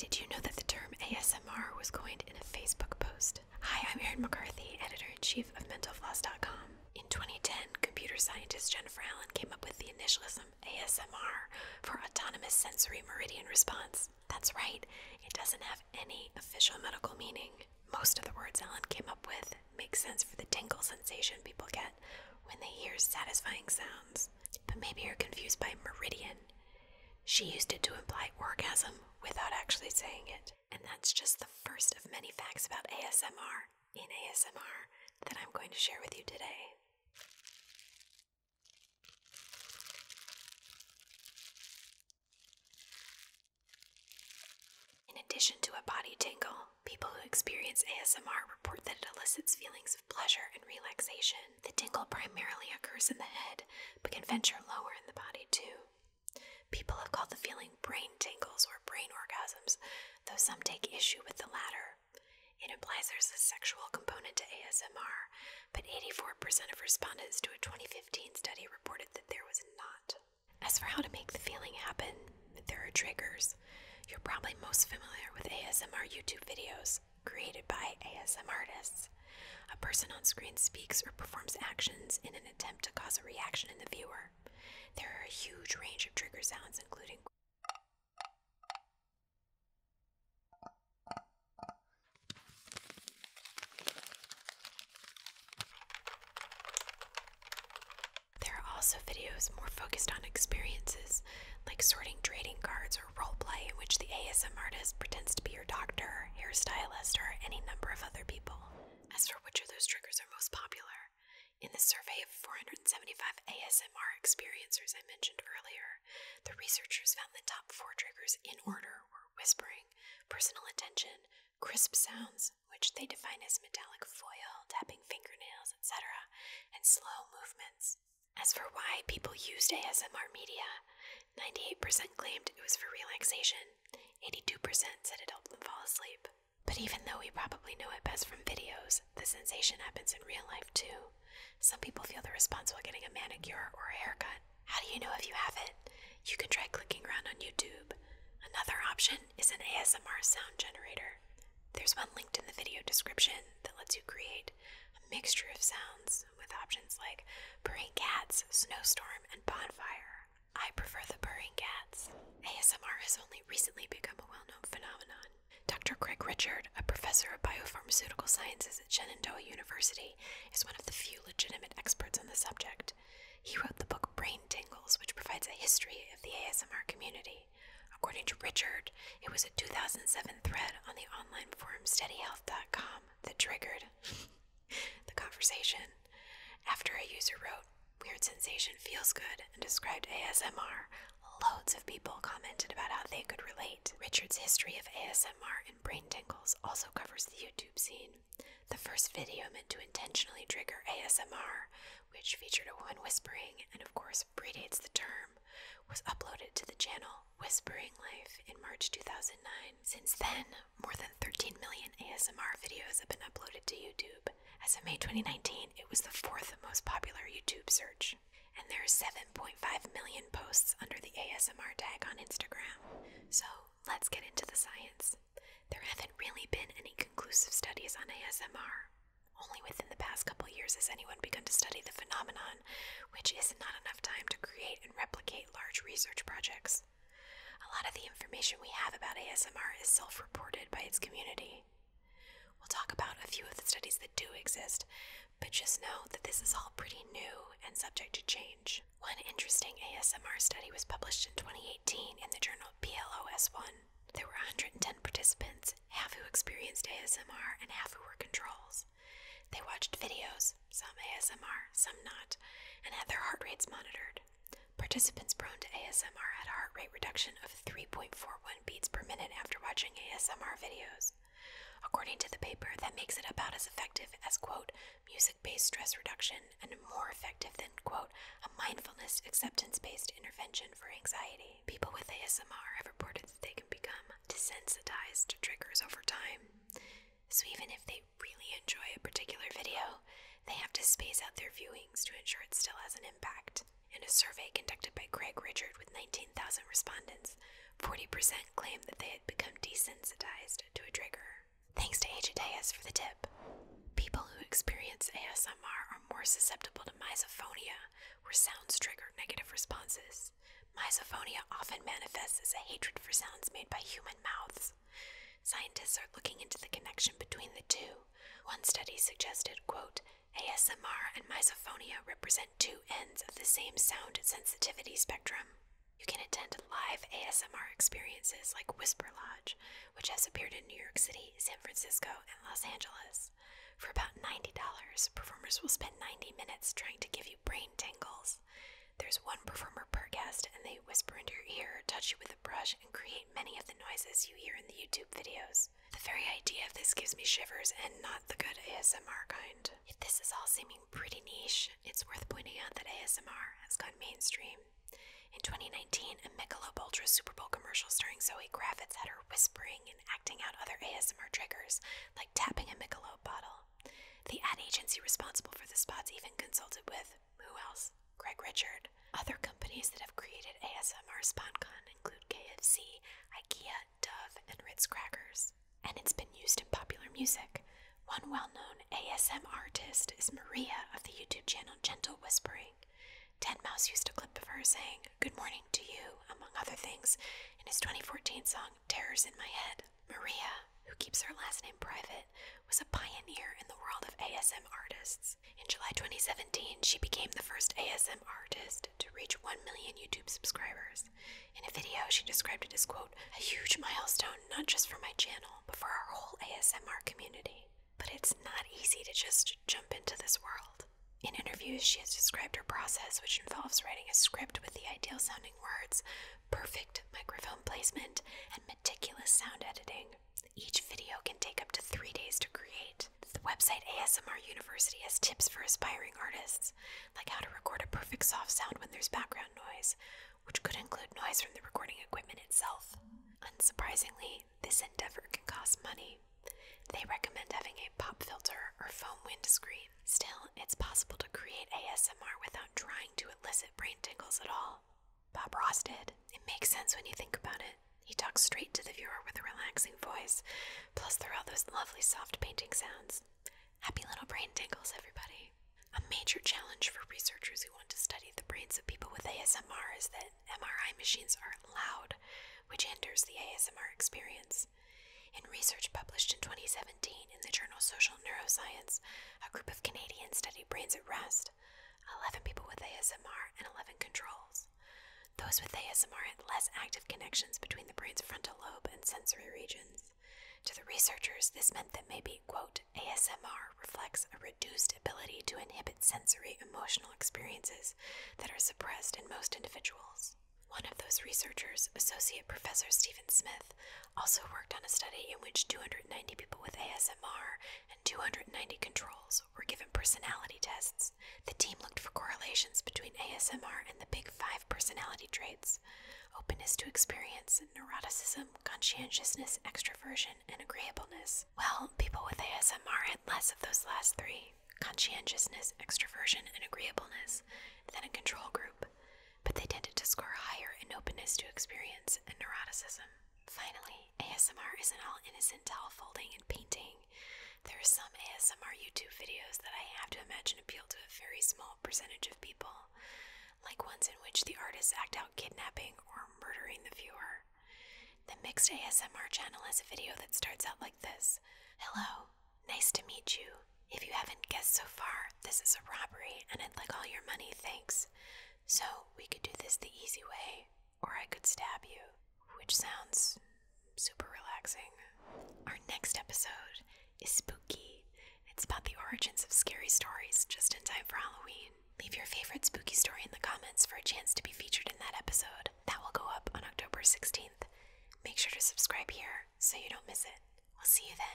Did you know that the term ASMR was coined in a Facebook post? Hi, I'm Erin McCarthy, editor in chief of MentalFloss.com. In 2010, computer scientist Jennifer Allen came up with the initialism ASMR for autonomous sensory meridian response. That's right, it doesn't have any official medical meaning. Most of the words Allen came up with make sense for the tingle sensation people get when they hear satisfying sounds. But maybe you're confused by meridian she used it to imply orgasm without actually saying it. And that's just the first of many facts about ASMR in ASMR that I'm going to share with you today. In addition to a body tingle, people who experience ASMR report that it elicits feelings pleasure and relaxation. The tingle primarily occurs in the head, but can venture lower in the body too. People have called the feeling brain tingles or brain orgasms, though some take issue with the latter. It implies there's a sexual component to ASMR, but 84% of respondents to a 2015 study reported that there was not. As for how to make the feeling happen, there are triggers. You're probably most familiar with ASMR YouTube videos created by ASM artists. A person on screen speaks or performs actions in an attempt to cause a reaction in the viewer. There are a huge range of trigger sounds, including There are also videos more focused on experiences, like sorting trading cards or or roleplay in which the ASMR artist pretends to be your doctor, hairstylist, or any number of other people. As for which of those triggers are most popular, in the survey of 475 ASMR experiencers I mentioned earlier, the researchers found the top four triggers in order were whispering, personal attention, crisp sounds, which they define as metallic foil, tapping fingernails, etc., and slow movements. As for why people used ASMR media, 98% claimed it was for relaxation, 82% said it helped them fall asleep. But even though we probably know it best from videos, the sensation happens in real life too. Some people feel the response while getting a manicure or a haircut. How do you know if you have it? You can try clicking around on YouTube. Another option is an ASMR sound generator. There's one linked in the video description that lets you create a mixture of sounds with options like Purring Cats, Snowstorm, and Bonfire. I prefer the Purring Cats. ASMR has only recently become a well known phenomenon. Dr. Craig Richard, a professor of biopharmaceutical sciences at Shenandoah University, is one of the few legitimate experts on the subject. He wrote the book Brain Tingles, which provides a history of the ASMR community. According to Richard, it was a 2007 thread on the online forum SteadyHealth.com that triggered the conversation after a user wrote, Weird sensation feels good, and described ASMR. Loads of people commented about how they could relate. Richard's history of ASMR and brain tingles also covers the YouTube scene. The first video meant to intentionally trigger ASMR, which featured a woman whispering and, of course, predates the term, was uploaded to the channel Whispering Life in March 2009. Since then, more than 13 million ASMR videos have been uploaded to YouTube. As of May 2019, it was the fourth most popular YouTube search. And there are 7.5 million posts under the ASMR tag on Instagram. So let's get into the science. There haven't really been any conclusive studies on ASMR. Only within the past couple years has anyone begun to study the phenomenon, which is not enough time to create and replicate large research projects. A lot of the information we have about ASMR is self reported by its community. We'll talk about a few of the studies that do exist, but just know that this is all pretty new and subject to change. One interesting ASMR study was published in 2018 in the journal PLOS1. There were 110 participants, half who experienced ASMR and half who were controls. They watched videos, some ASMR, some not, and had their heart rates monitored. Participants prone to ASMR had a heart rate reduction of 3.41 beats per minute after watching ASMR videos. According to the paper, that makes it about as effective as, quote, music based stress reduction and more effective than, quote, a mindfulness acceptance based intervention for anxiety. People with ASMR have reported that they can become desensitized to triggers over time. So even if they really enjoy a particular video, they have to space out their viewings to ensure it still has an impact. In a survey conducted by Craig Richard with 19,000 respondents, 40% claimed that they had become desensitized to a trigger. Thanks to Agideus for the tip. People who experience ASMR are more susceptible to misophonia, where sounds trigger negative responses sounds. often manifests as a hatred for sounds made by human mouths. Scientists are looking into the connection between the two. One study suggested, quote, ASMR and misophonia represent two ends of the same sound sensitivity spectrum. You can attend live ASMR experiences like Whisper Lodge, which has appeared in New York City, San Francisco, and Los Angeles. For about $90, performers will spend 90 minutes trying to give you brain tingles. There's one performer per guest, and they whisper into your ear, touch you with a brush, and create many of the noises you hear in the YouTube videos. The very idea of this gives me shivers, and not the good ASMR kind. If this is all seeming pretty niche, it's worth pointing out that ASMR has gone mainstream. In 2019, a Michelob Ultra Super Bowl commercial starring Zoe Kravitz had her whispering and acting out other ASMR triggers, like tapping a Michelob bottle. The ad agency responsible for the spots even consulted with who else? Greg Richard. Other companies that have created ASMR SponCon include KFC, IKEA, Dove, and Ritz Crackers. And it's been used in popular music. One well known ASMR artist is Maria of the YouTube channel Gentle Whispering. Ted Mouse used a clip of her saying, Good morning to you, among other things, in his 2014 song Terrors in My Head. Maria, who keeps her last name private, was a pioneer in the world of ASM artists. In July 2017, she became the first ASM artist to reach 1 million YouTube subscribers. In a video, she described it as, quote, a huge milestone not just for my channel, but for our whole ASMR community. But it's not easy to just jump into this world. In interviews, she has described her process, which involves writing a script with the ideal sounding words, perfect microphone placement, and meticulous sound editing. Each video can take up to three days to create. The website ASMR University has tips for aspiring artists, like how to record a perfect soft sound when there's background noise, which could include noise from the recording equipment itself. Unsurprisingly, this endeavor can cost money. They recommend having a pop filter or foam windscreen. Still, it's possible to create ASMR without drawing to elicit brain tingles at all. Bob Ross did. It makes sense when you think about it. He talks straight to the viewer with a relaxing voice, plus there are all those lovely soft painting sounds. Happy little brain tingles, everybody. A major challenge for researchers who want to study the brains of people with ASMR is that MRI machines are loud, which hinders the ASMR experience. In research published in 2017 in the journal Social Neuroscience, a group of Canadians studied brains at rest. 11 people with ASMR and 11 controls. Those with ASMR had less active connections between the brain's frontal lobe and sensory regions. To the researchers, this meant that maybe, quote, ASMR reflects a reduced ability to inhibit sensory emotional experiences that are suppressed in most individuals. One of those researchers, Associate Professor Stephen Smith, also worked on a study in which 290 people with ASMR and 290 controls were given personality tests. The team looked for correlations between ASMR and the big five personality traits openness to experience, neuroticism, conscientiousness, extroversion, and agreeableness. Well, people with ASMR had less of those last three conscientiousness, extroversion, and agreeableness than a control group but they tended to score higher in openness to experience and neuroticism. Finally, ASMR isn't all innocent towel folding and painting. There are some ASMR YouTube videos that I have to imagine appeal to a very small percentage of people, like ones in which the artists act out kidnapping or murdering the viewer. The Mixed ASMR channel has a video that starts out like this Hello, nice to meet you. If you haven't guessed so far, this is a robbery and I'd like all your money, thanks. So we could do this the easy way, or I could stab you, which sounds super relaxing. Our next episode is spooky. It's about the origins of scary stories just in time for Halloween. Leave your favorite spooky story in the comments for a chance to be featured in that episode. That will go up on October 16th. Make sure to subscribe here so you don't miss it. We'll see you then.